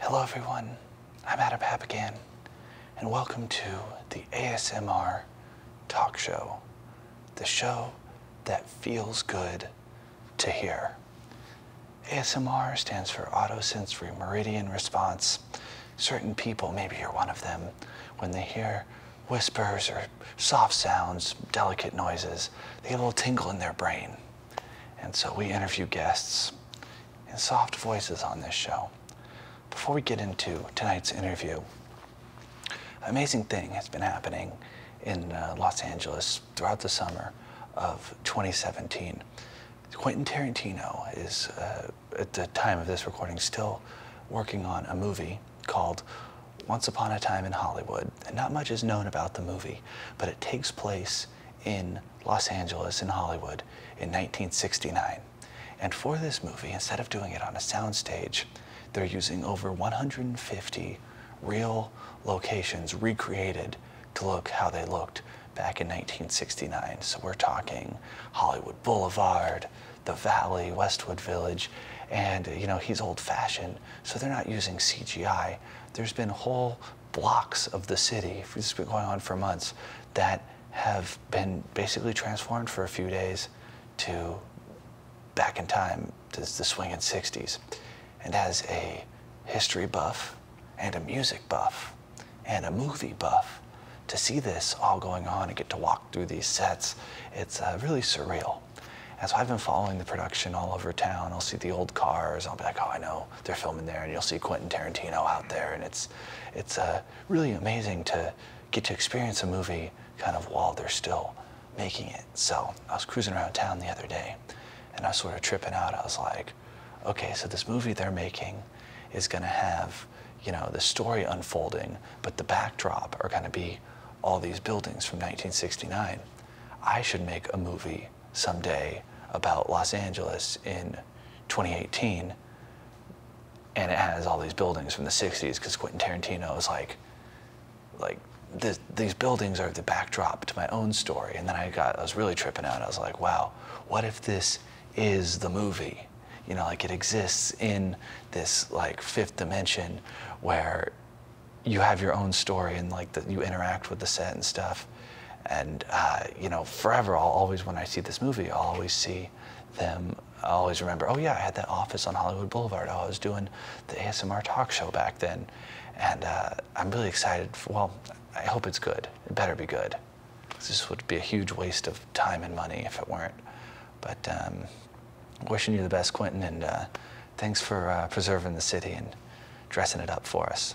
Hello everyone, I'm Adam Papp again, and welcome to the ASMR Talk Show, the show that feels good to hear. ASMR stands for autosensory meridian response. Certain people, maybe you're one of them, when they hear whispers or soft sounds, delicate noises, they get a little tingle in their brain. And so we interview guests in soft voices on this show. Before we get into tonight's interview, amazing thing has been happening in uh, Los Angeles throughout the summer of 2017. Quentin Tarantino is, uh, at the time of this recording, still working on a movie called Once Upon a Time in Hollywood. And not much is known about the movie, but it takes place in Los Angeles in Hollywood in 1969. And for this movie, instead of doing it on a soundstage, they're using over 150 real locations recreated to look how they looked back in 1969. So we're talking Hollywood Boulevard, the Valley, Westwood Village, and you know, he's old fashioned, so they're not using CGI. There's been whole blocks of the city, this has been going on for months, that have been basically transformed for a few days to back in time to the swinging 60s. And as a history buff and a music buff, and a movie buff to see this all going on and get to walk through these sets. It's uh, really surreal. And so I've been following the production all over town. I'll see the old cars. I'll be like, oh, I know they're filming there. And you'll see Quentin Tarantino out there. And it's, it's uh, really amazing to get to experience a movie kind of while they're still making it. So I was cruising around town the other day and I was sort of tripping out. I was like, okay, so this movie they're making is going to have, you know, the story unfolding, but the backdrop are going to be all these buildings from 1969. I should make a movie someday about Los Angeles in 2018, and it has all these buildings from the 60s because Quentin Tarantino is like, like these buildings are the backdrop to my own story. And then I got, I was really tripping out. I was like, wow, what if this is the movie? You know, like it exists in this like fifth dimension where you have your own story and like that you interact with the set and stuff. And uh, you know, forever, I'll always when I see this movie, I'll always see them. I always remember, oh yeah, I had that office on Hollywood Boulevard. Oh, I was doing the ASMR talk show back then, and uh, I'm really excited. well, I hope it's good. It better be good. This would be a huge waste of time and money if it weren't. But um, wishing you the best, Quentin, and uh, thanks for uh, preserving the city and dressing it up for us.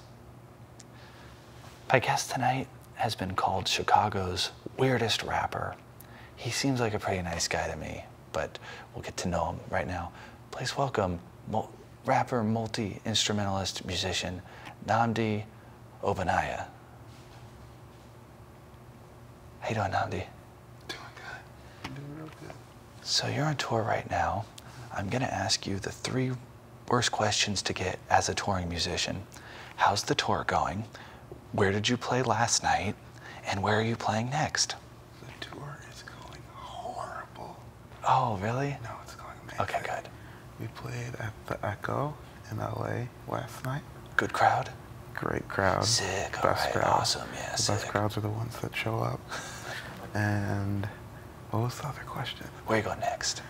My guest tonight has been called Chicago's weirdest rapper. He seems like a pretty nice guy to me, but we'll get to know him right now. Please welcome rapper, multi-instrumentalist, musician, Namdi Obanaya. How you doing, Namdi? Doing good. Doing real good. So you're on tour right now. I'm gonna ask you the three worst questions to get as a touring musician. How's the tour going? Where did you play last night? And where are you playing next? The tour is going horrible. Oh, really? No, it's going to be Okay, good. We played at the Echo in LA last night. Good crowd? Great crowd. Sick. Best crowd. Awesome, yeah. The best crowds are the ones that show up. and what was the other question? Where you going next?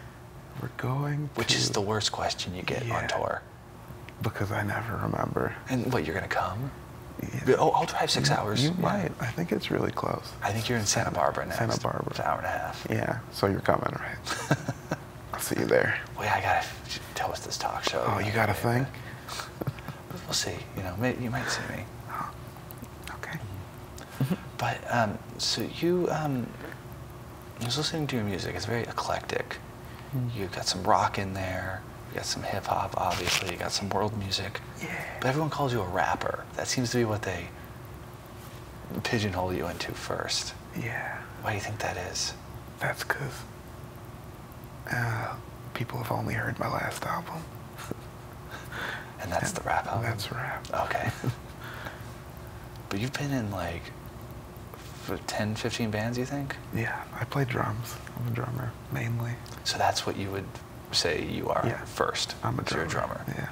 We're going Which is the worst question you get on tour. Because I never remember. And what, you're going to come? Yeah. Oh, I'll drive six hours. You might. I think it's really close. I think you're in Santa, Barbara next. Santa Barbara. an hour and a half. Yeah so you're coming, right? I'll see you there. Well, yeah, I gotta tell us this talk show. Oh, you got a thing? we'll see. You know, you might see me. Oh, okay. Mm-hmm. but um, so you, um, I was listening to your music. It's very eclectic. Mm-hmm. You've got some rock in there. You got some hip hop, obviously. You got some world music. Yeah. But everyone calls you a rapper. That seems to be what they pigeonhole you into first. Yeah. Why do you think that is? That's because uh, people have only heard my last album. and that's the rap album? That's rap. Okay. but you've been in like 10, 15 bands, you think? Yeah, I play drums. I'm a drummer mainly. So that's what you would say you are first? I'm a drummer. You're a drummer. Yeah.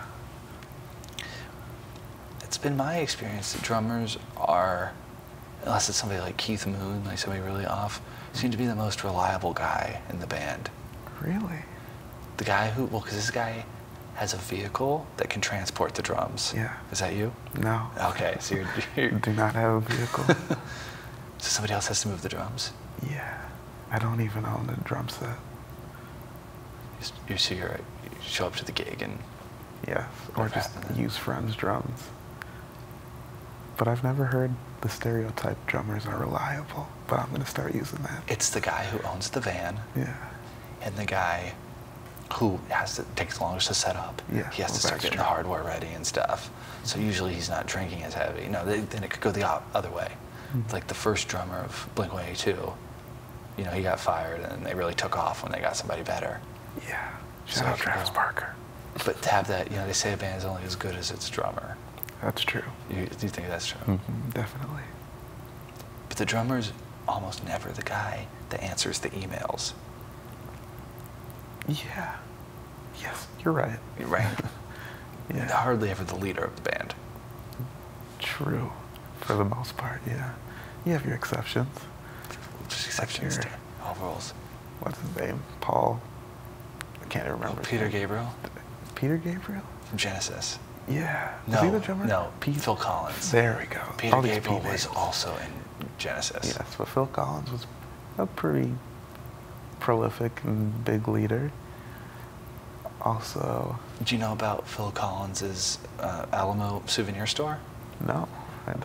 It's been my experience that drummers are, unless it's somebody like Keith Moon, like somebody really off, seem to be the most reliable guy in the band. Really? The guy who, well, because this guy has a vehicle that can transport the drums. Yeah. Is that you? No. Okay, so you do not have a vehicle. so somebody else has to move the drums? Yeah. I don't even own the drum set you see her show up to the gig and yeah or just use friends drums but i've never heard the stereotype drummers are reliable but i'm going to start using that it's the guy who owns the van yeah and the guy who has to takes longest to set up yeah he has to start getting the hardware ready and stuff so usually he's not drinking as heavy no then it could go the other way mm like the first drummer of blink 182 you know, he got fired, and they really took off when they got somebody better. Yeah. Shout Travis Barker. But to have that, you know, they say a band's only as good as its drummer. That's true. You, do you think that's true? Mm-hmm. definitely. But the drummer's almost never the guy that answers the emails. Yeah. Yes, you're right. You're right. yeah. Hardly ever the leader of the band. True for the most part, yeah. You have your exceptions. Just exceptions like your, all What's his name? Paul. I can't remember. Peter Gabriel. Peter Gabriel. Genesis. Yeah. No. Is No. Phil Collins. There we go. Peter Gabriel was also in Genesis. Yes, but Phil Collins was a pretty prolific and big leader also. Do you know about Phil Collins's uh, Alamo souvenir store? No.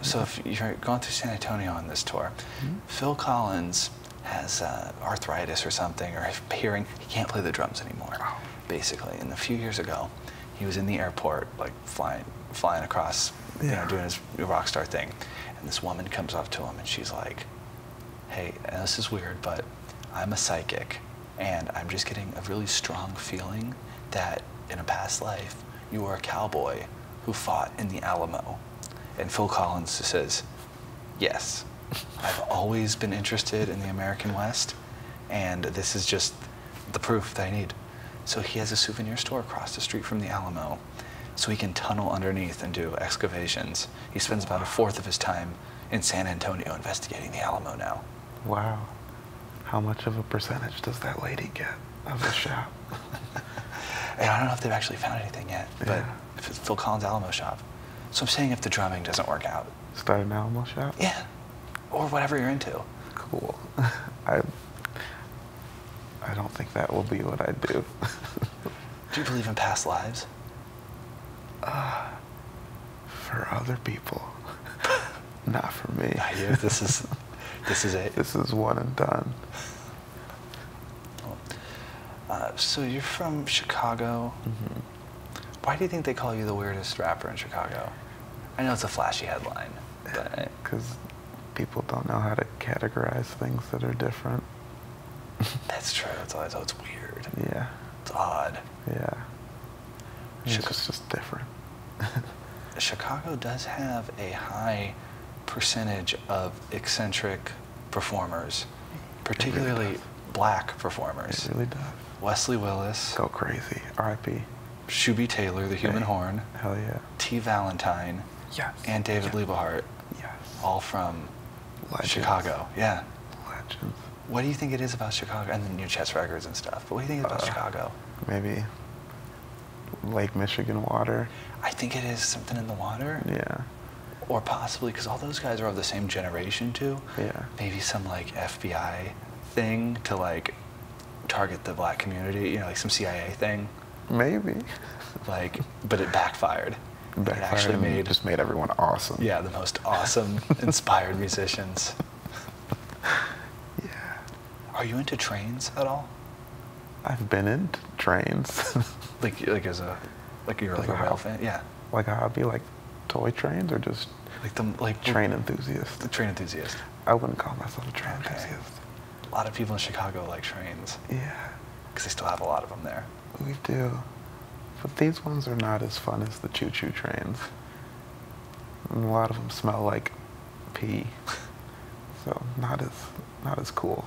So if you're going to San Antonio on this tour, mm-hmm. Phil Collins has uh, arthritis or something, or hearing he can't play the drums anymore, basically. And a few years ago, he was in the airport, like flying flying across, you know, doing his rock star thing, and this woman comes up to him and she's like, "Hey, this is weird, but I'm a psychic." And I'm just getting a really strong feeling that in a past life, you were a cowboy who fought in the Alamo. And Phil Collins says, Yes, I've always been interested in the American West, and this is just the proof that I need. So he has a souvenir store across the street from the Alamo, so he can tunnel underneath and do excavations. He spends about a fourth of his time in San Antonio investigating the Alamo now. Wow. How much of a percentage does that lady get of the shop? and I don't know if they've actually found anything yet, but if it's Phil Collins Alamo shop. So I'm saying if the drumming doesn't work out. Start an Alamo shop? Yeah. Or whatever you're into. Cool. I I don't think that will be what I do. do you believe in past lives? Uh, for other people, not for me. this is this is it. This is one and done. Uh, so you're from Chicago. Mm-hmm. Why do you think they call you the weirdest rapper in Chicago? I know it's a flashy headline, but because people don't know how to categorize things that are different. That's true. That's always oh, it's weird. Yeah. It's odd. Yeah. Chicago's just different. Chicago does have a high percentage of eccentric performers, particularly black performers. It really does. Wesley Willis. So crazy. R.I.P. Shuby Taylor, the human horn. Hell yeah. T. Valentine. Yes. And David Lieberhart. Yes. All from Chicago. Yeah. Legends what do you think it is about Chicago and the new chess records and stuff? what do you think about uh, Chicago? Maybe Lake Michigan water. I think it is something in the water. Yeah. Or possibly because all those guys are of the same generation too. Yeah. Maybe some like FBI thing to like target the black community. You know, like some CIA thing. Maybe. Like, but it backfired. Backfired. It actually just made everyone awesome. Yeah, the most awesome, inspired musicians. yeah. Are you into trains at all? I've been into trains. like like as a like you're like, a, a rail fan, yeah. Like a hobby, like toy trains or just like the like train enthusiast. The train enthusiast. I wouldn't call myself a train enthusiast. A lot of people in Chicago like trains. Yeah. Because they still have a lot of them there. We do. But these ones are not as fun as the choo-choo trains a lot of them smell like pee. so not as not as cool.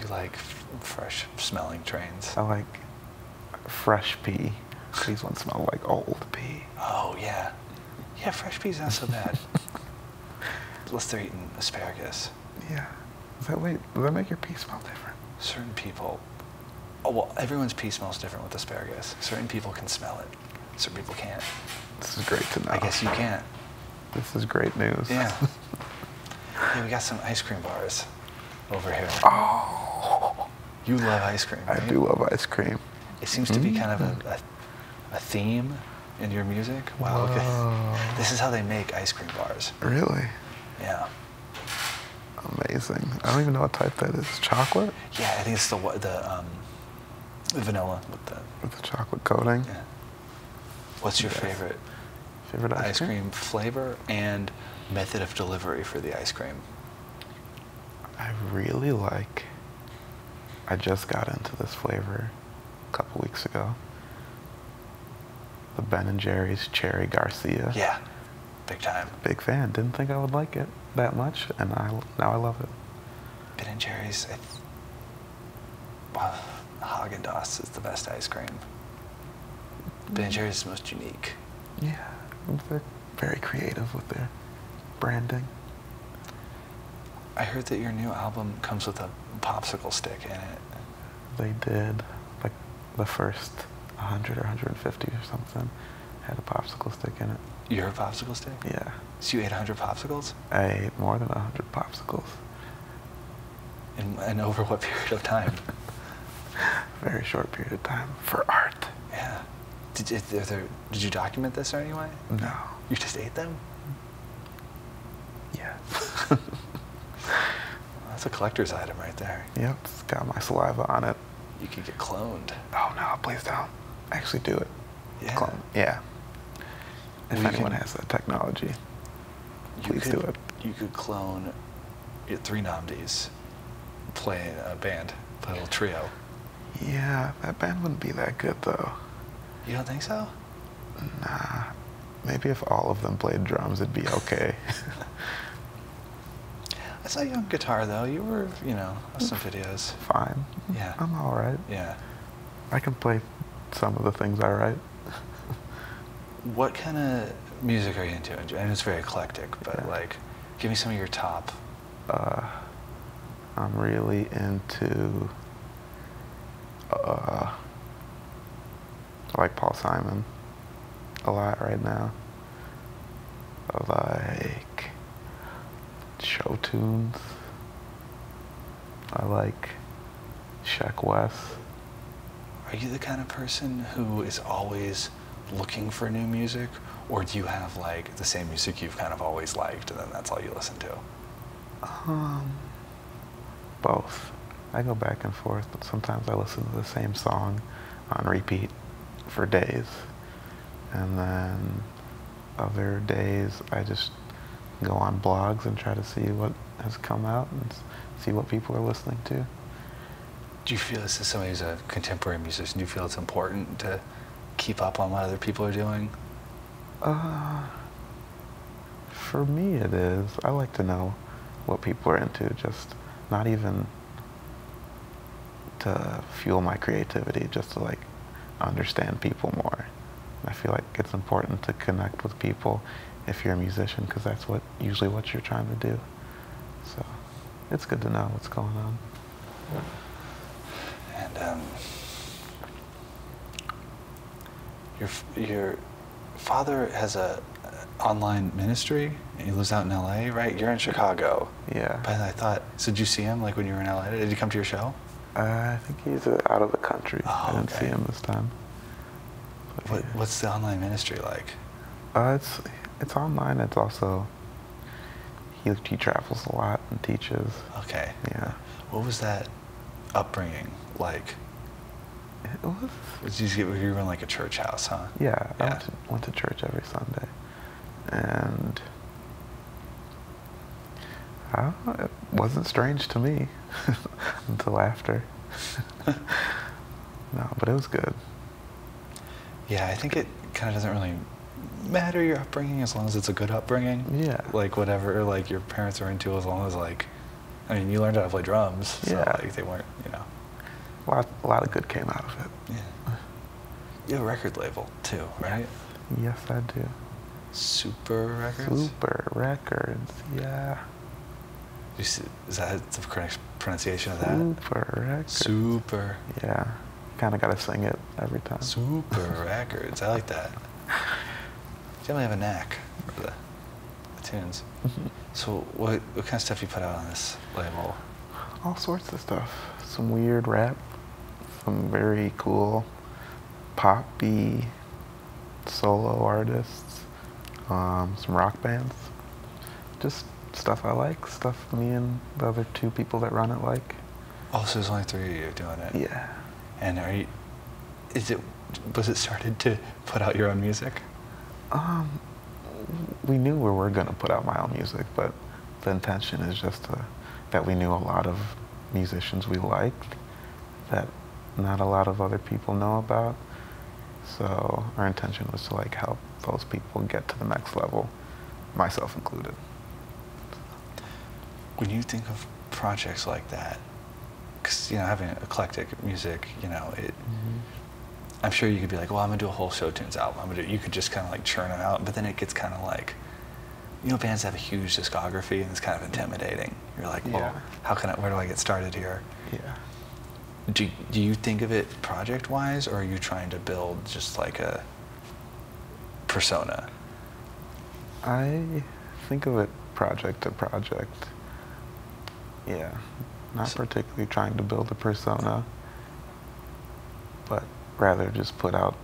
You like fresh smelling trains. I like fresh pee. These ones smell like old pee. Oh yeah, yeah. Fresh pea's not so bad. Unless they're eating asparagus. Yeah. Does that, does that make your pee smell different? Certain people oh, well, everyone's pea smells different with asparagus. Certain people can smell it, certain people can't. This is great to know. I guess you can't. This is great news. Yeah. hey, we got some ice cream bars over here. Oh. You love ice cream. I do love ice cream. It seems to be mm-hmm. kind of a, a, theme in your music. Wow. This is how they make ice cream bars. Really? Yeah. Amazing. I don't even know what type that is. Chocolate? Yeah, I think it's the the, um, vanilla with the with the chocolate coating. What's your favorite favorite ice, cream? cream? flavor and method of delivery for the ice cream? I really like. I just got into this flavor a couple weeks ago. The Ben and Jerry's Cherry Garcia. Yeah. Big time. Big fan. Didn't think I would like it that much, and I now I love it. Ben and Jerry's. I well, Haagen Dazs is the best ice cream. Ben and Jerry's is most unique. Yeah, they're very creative with their branding. I heard that your new album comes with a popsicle stick in it. They did, like the first 100 or 150 or something had a popsicle stick in it. You're a popsicle stick? Yeah. So you ate 100 popsicles? I ate more than 100 popsicles. And, over what period of time? Very short period of time for art. Yeah. Did, you, did you document this or any way? No. You just ate them? Yeah. that's a collector's item right there. Yep, it's got my saliva on it. You could get cloned. Oh no! Please don't. Actually, do it. Yeah. Yeah. If anyone has that technology, please do it. You could clone your three nominees, play a band, play a little trio. Yeah, that band wouldn't be that good though. You don't think so? Nah. Maybe if all of them played drums, it'd be okay. I saw you on guitar though. You were, you know, some mm. videos. Fine. Yeah. I'm all right. Yeah. I can play some of the things I write. what kind of music are you into? I know it's very eclectic, but like, give me some of your top. Uh, I'm really into, I uh, like Paul Simon a lot right now. I like show tunes. I like Shaq West. Are you the kind of person who is always looking for new music, or do you have like the same music you've kind of always liked, and then that's all you listen to? Um. both. I go back and forth, but sometimes I listen to the same song on repeat for days, and then other days I just go on blogs and try to see what has come out and see what people are listening to. Do you feel this is somebody who's a contemporary musician? Do you feel it's important to keep up on what other people are doing? Uh, for me, it is. I like to know what people are into, just not even to fuel my creativity, just to like understand people more. I feel like it's important to connect with people if you're a musician, because that's what usually what you're trying to do. So it's good to know what's going on. And um, your your father has a online ministry. He lives out in L.A., right? You're in Chicago. Yeah. I thought, so did you see him like when you were in LA? Did he come to your show? Uh, I think he's uh, out of the country. Oh, I didn't see him this time. What's the online ministry like? Uh, it's it's online. It's also he he travels a lot and teaches. Okay. Yeah. What was that upbringing like? What? Did you, get, you were in like a church house, huh? Yeah. yeah. I went to church every Sunday and uh, it wasn't strange to me until after. no, but it was good. Yeah, I think it kind of doesn't really matter your upbringing as long as it's a good upbringing. Yeah. Like whatever like your parents are into, as long as like, I mean, you learned how to play drums. So yeah. Like they weren't, you know. A a lot of good came out of it. Yeah. You have a record label too, right? Yes, I do. Super Records? Super Records, yeah. You see, is that the correct pronunciation of that? Super Records. Super. Yeah. Kind of got to sing it every time. Super Records. I like that. You definitely have a knack for the, tunes. Mm-hmm. So, what, what kind of stuff you put out on this label? all sorts of stuff. Some weird rap, some very cool poppy solo artists, um, some rock bands. Just stuff I like, stuff me and the other two people that run it like. Oh, so there's only three of you doing it. Yeah. And are you? Is it? Was it started to put out your own music? Um, we knew we were gonna put out my own music, but the intention is just that we knew a lot of musicians we liked that not a lot of other people know about. So our intention was to like help those people get to the next level, myself included. When you think of projects like that, because you know having eclectic music, you know it. Mm-hmm. I'm sure you could be like, well, I'm gonna do a whole show tunes album. You could just kind of like churn them out, but then it gets kind of like you know, bands have a huge discography and it's kind of intimidating. You're like, well, how can I, where do I get started here? Yeah. Do, do you think of it project wise or are you trying to build just like a persona? I think of it project to project. Yeah. Not particularly trying to build a persona, but rather just put out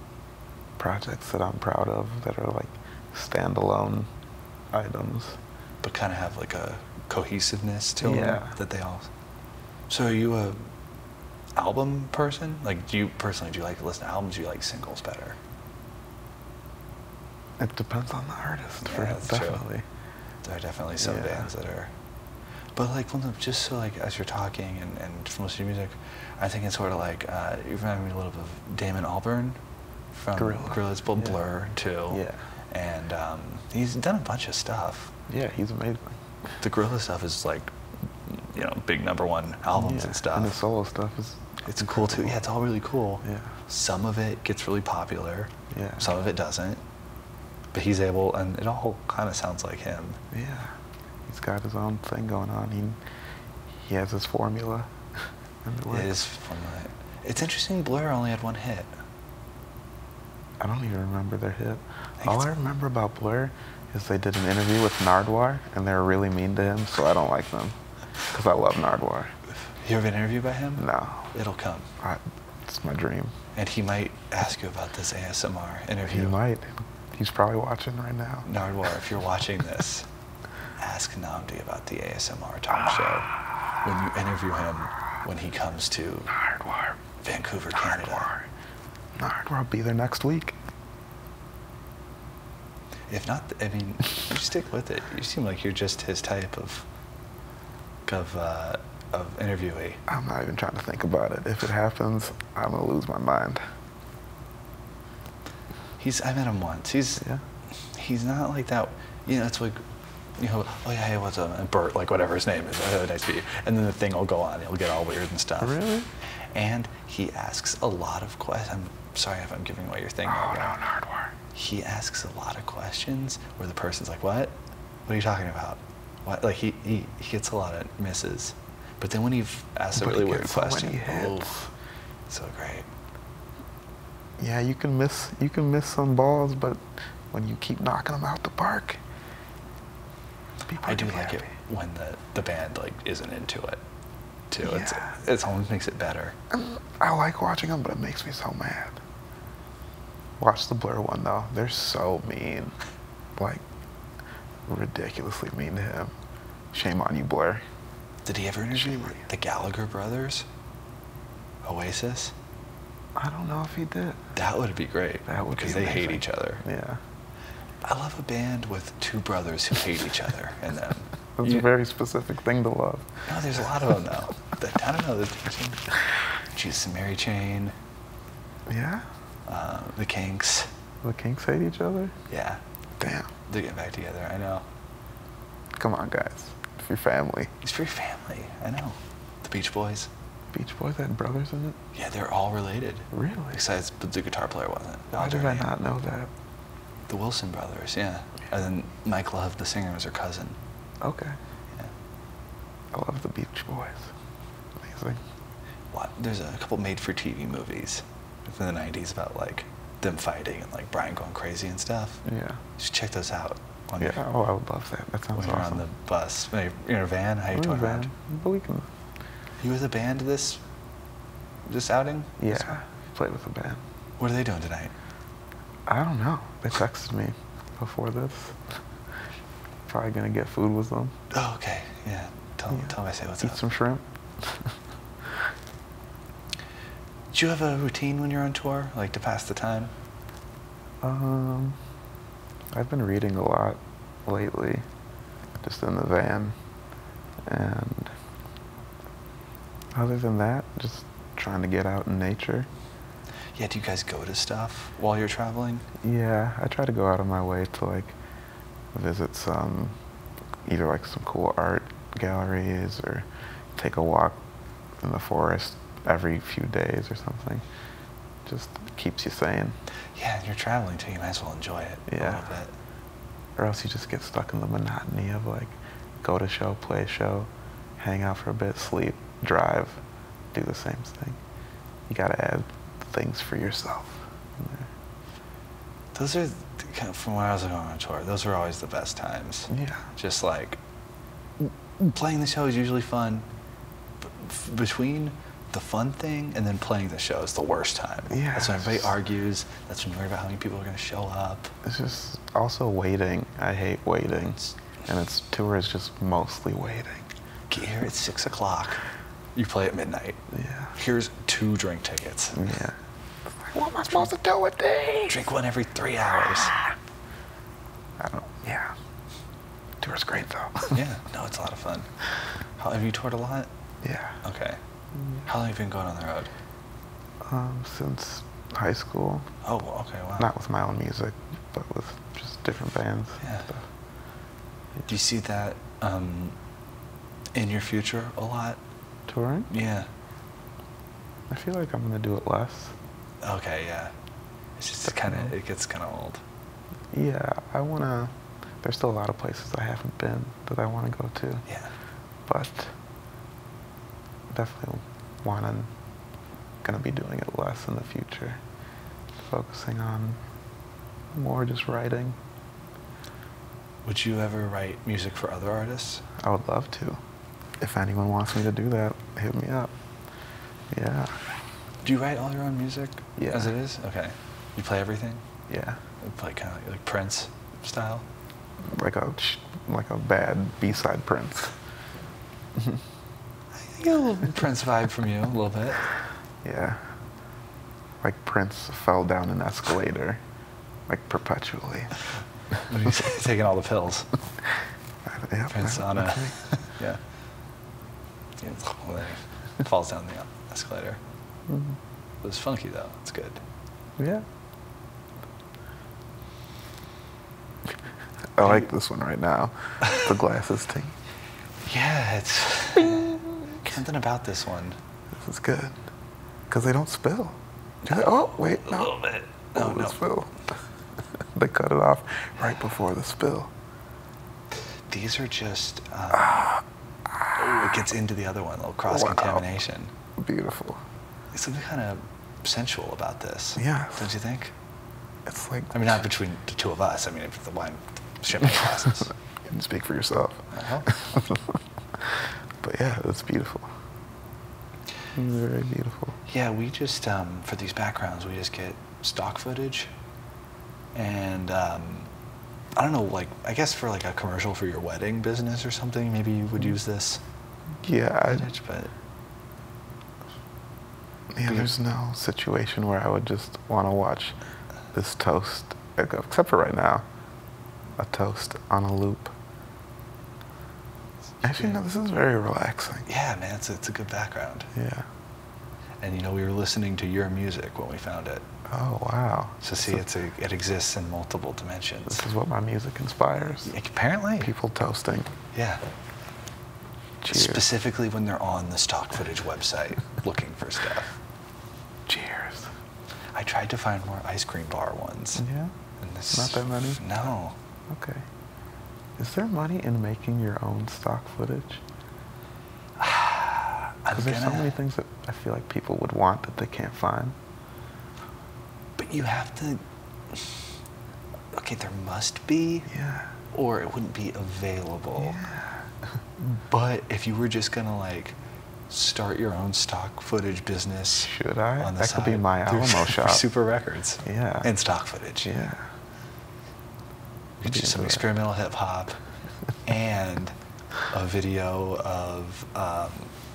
projects that I'm proud of that are like standalone items. But kind of have like a cohesiveness to them that they all. So are you a album person? Like, do you personally do you like to listen to albums? Do you like singles better? It depends on the artist. for sure. definitely. There are definitely some bands that are. But like, just so like as you're talking and, and from listening to music, I think it's sort of like uh, you remind me a little bit of Damon Albarn from Gorilla. Gorilla's Bull Blur too. Yeah. And um, he's done a bunch of stuff. Yeah, he's amazing. The Gorilla stuff is like, you know, big number one albums and stuff. And the solo stuff is. It's cool too. Yeah, it's all really cool. Yeah. Some of it gets really popular. Yeah. Some of it doesn't. But he's able, and it all kind of sounds like him. Yeah he's got his own thing going on. He he has his formula. it is formula. It's interesting. Blur only had one hit. I don't even remember their hit. All I remember about Blur is they did an interview with Nardwuar, and they were really mean to him, so I don't like them because I love Nardwuar. You ever been interviewed by him? No. It'll come. it's my dream. And he might ask you about this ASMR interview. He might. He's probably watching right now. Nardwar, if you're watching this, ask Nandi about the ASMR talk show when you interview him when he comes to Nardwar. Vancouver, Nardwar. Canada. Nardwar will be there next week. If not, I mean, you stick with it. You seem like you're just his type of of uh, of interviewee. I'm not even trying to think about it. If it happens, I'm gonna lose my mind. He's I met him once. He's yeah. he's not like that. You know, it's like you know, oh yeah, hey, what's a and Bert, like whatever his name is, nice to meet you. And then the thing will go on. It'll get all weird and stuff. Really? And he asks a lot of questions. I'm sorry if I'm giving away your thing. Oh, no, hardware. He asks a lot of questions where the person's like, what? What are you talking about? What? Like he, he, he gets a lot of misses. But then when you've asked a really weird question, oof, so great. Yeah, you can miss you can miss some balls, but when you keep knocking them out the park, I do like it when the, the band like isn't into it too. Yeah. It's it's almost makes it better. Um, I like watching them, but it makes me so mad. Watch the Blur one though. They're so mean like ridiculously mean to him. Shame on you, Blair. Did he ever interview the Gallagher brothers? Oasis? I don't know if he did. That would be great. That would because they hate each other. Yeah. I love a band with two brothers who hate each other and them. That's a very specific thing to love. No, there's a lot of them though. I don't know. The, Jesus and Mary Chain. Yeah. Uh, the Kinks. The Kinks hate each other? Yeah. Damn. They're getting back together, I know. Come on, guys. It's for your family. It's for your family, I know. The Beach Boys. Beach Boys had brothers in it? Yeah, they're all related. Really? Besides, the guitar player wasn't. Why did I not know that? The Wilson brothers, yeah. And then Mike Love, the singer, was her cousin. Okay. I love the Beach Boys. Amazing. What? There's a couple made-for-TV movies movies in the 90s about like them fighting and like Brian going crazy and stuff. Yeah. Just check those out. When yeah. oh, I would love that. That sounds when awesome. When you're on the bus, you know, van, how you doing, around? But we can. You with a band this this outing? Yeah. This played with a band. What are they doing tonight? I don't know. They texted me before this. Probably gonna get food with them. Oh, okay. Yeah. Tell, me, tell them say what's up. Eat some shrimp. Do you have a routine when you're on tour, like to pass the time? Um, I've been reading a lot lately, just in the van, and other than that, just trying to get out in nature. Yeah, do you guys go to stuff while you're traveling? Yeah, I try to go out of my way to like visit some, either like some cool art galleries or take a walk in the forest every few days or something. Just keeps you sane. Yeah, you're traveling too. You might as well enjoy it yeah. a little bit. Or else you just get stuck in the monotony of like, go to show, play show, hang out for a bit, sleep, drive, do the same thing. You gotta add things for yourself those are from when I was going on tour. Those are always the best times. Yeah. Just like playing the show is usually fun. between the fun thing and then playing the show is the worst time. Yeah. That's when everybody argues. That's when you worry about how many people are going to show up. It's just also waiting. I hate waiting. and it's tour is just mostly waiting. Get here at six o'clock you play at midnight. Yeah. Here's two drink tickets. Yeah. What am I supposed to do with these? Drink one every three hours. Ah. I don't. Yeah. Tour's great though. yeah. No, it's a lot of fun. have you toured a lot? Yeah. Okay. Mm. How long have you been going on the road? Um, since high school. Oh, okay. Wow. Not with my own music, but with just different bands. yeah. Do you see that? Um, in your future a lot? Touring? Yeah. I feel like I'm gonna do it less. Okay, yeah. It's just kind of it gets kind of old. Yeah, I wanna. There's still a lot of places I haven't been that I want to go to. Yeah. But definitely wanna gonna be doing it less in the future. Focusing on more just writing. Would you ever write music for other artists? I would love to. If anyone wants me to do that, hit me up. Yeah. Do you write all your own music? Yeah. As it is? Okay. You play everything? Yeah. You play kind of like, like Prince style? Like a, like a bad B-side Prince. I get a little Prince vibe from you, a little bit. Yeah. Like Prince fell down an escalator like perpetually. taking all the pills. Uh, yeah, yeah. yeah. falls down the escalator. Mm-hmm. It was funky though. It's good. Yeah. I like this one right now. The glasses thing. Yeah, it's something about this one. This is good. Because they don't spill. Like, oh, wait, no. A little oh, no. spill. they cut it off right before the spill. These are just. Um, ah. oh, it gets into the other one, a little cross contamination. Wow. Beautiful. There's something kind of sensual about this. Yeah. Don't you think? It's like. I mean, not between the two of us. I mean, if the wine shipping glasses. you can speak for yourself. Uh-huh. but yeah, it's beautiful. Very beautiful. Yeah, we just um, for these backgrounds, we just get stock footage, and um, I don't know, like I guess for like a commercial for your wedding business or something, maybe you would mm. use this. Yeah, but yeah, there's no situation where I would just want to watch this toast except for right now a toast on a loop. Actually, no, this is very relaxing. Yeah, man, it's a, it's a good background. Yeah. And you know, we were listening to your music when we found it. Oh wow! So see, it's a, it exists in multiple dimensions. This is what my music inspires. Apparently, people toasting. Yeah. Cheers. Specifically when they're on the stock footage website looking for stuff. Cheers. I tried to find more ice cream bar ones. Yeah. Not that many. No. Okay. Is there money in making your own stock footage? Because there's so many things that I feel like people would want that they can't find. But you have to. Okay, there must be. Yeah. Or it wouldn't be available. Yeah. but if you were just gonna like start your own stock footage business. Should I? that could be my Alamo shop. Super Records. Yeah. And stock footage. Yeah. Get some experimental hip hop and a video of um,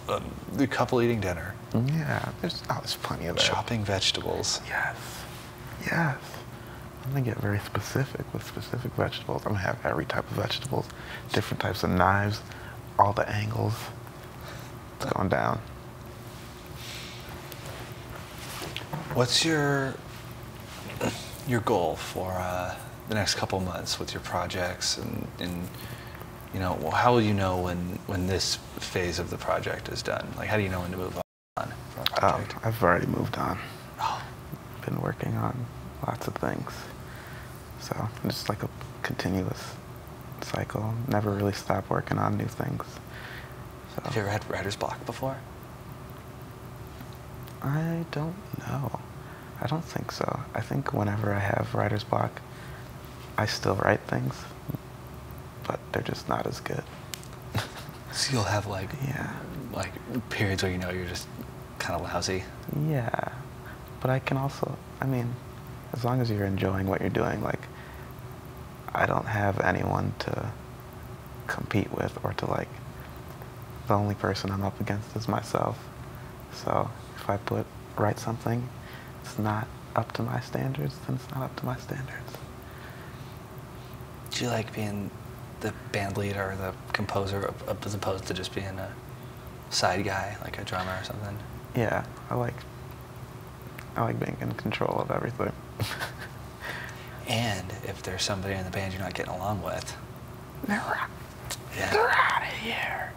um, the couple eating dinner. Yeah, there's, oh, there's plenty of that. Chopping vegetables. Yes. Yes. I'm gonna get very specific with specific vegetables. I'm gonna have every type of vegetables, different types of knives all the angles. It's going down. What's your your goal for uh, the next couple months with your projects and, and you know well, how will you know when when this phase of the project is done? Like how do you know when to move on? Um, I've already moved on. Oh. Been working on lots of things. So just like a continuous cycle. Never really stop working on new things. Have you ever had writer's block before? I don't know. I don't think so. I think whenever I have writer's block, I still write things, but they're just not as good. so you'll have like yeah, like periods where you know you're just kind of lousy. Yeah, but I can also I mean, as long as you're enjoying what you're doing, like, I don't have anyone to compete with or to like, the only person I'm up against is myself. So if I put, write something, it's not up to my standards, then it's not up to my standards. Do you like being the band leader or the composer as opposed to just being a side guy, like a drummer or something? Yeah, I like I like being in control of everything. and if there's somebody in the band you're not getting along with, they're yeah. they're out of here.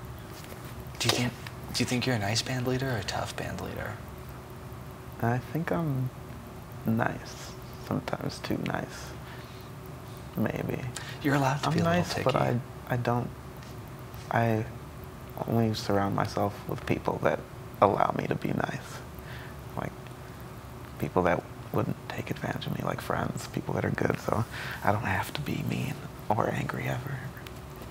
Do you think do you think you're a nice band leader or a tough band leader? I think I'm nice. Sometimes too nice. Maybe. You're allowed to be nice, but I I don't I only surround myself with people that allow me to be nice. Like people that wouldn't take advantage of me, like friends, people that are good, so I don't have to be mean or angry ever.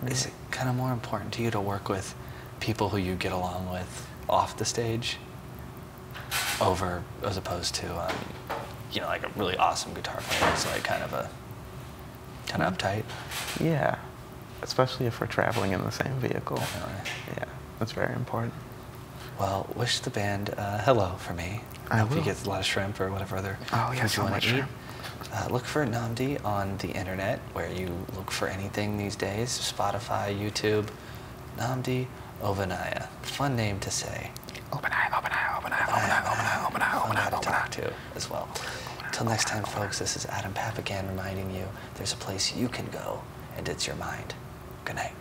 Is it kind of more important to you to work with people who you get along with off the stage over as opposed to, um, you know, like a really awesome guitar player is like kind of a Kind of uptight. Yeah, especially if we're traveling in the same vehicle. Yeah, that's very important. Well, wish the band uh, hello for me. I, I hope will. you get a lot of shrimp or whatever other oh, you want to eat. Uh, look for Namdi on the internet, where you look for anything these days Spotify, YouTube. Namdi Ovanaya. Fun name to say. Open eye, open eye, open eye, open eye, open eye, open eye, open eye, open eye. too, as well. Till next time, folks, this is Adam Papagan reminding you there's a place you can go, and it's your mind. Good night.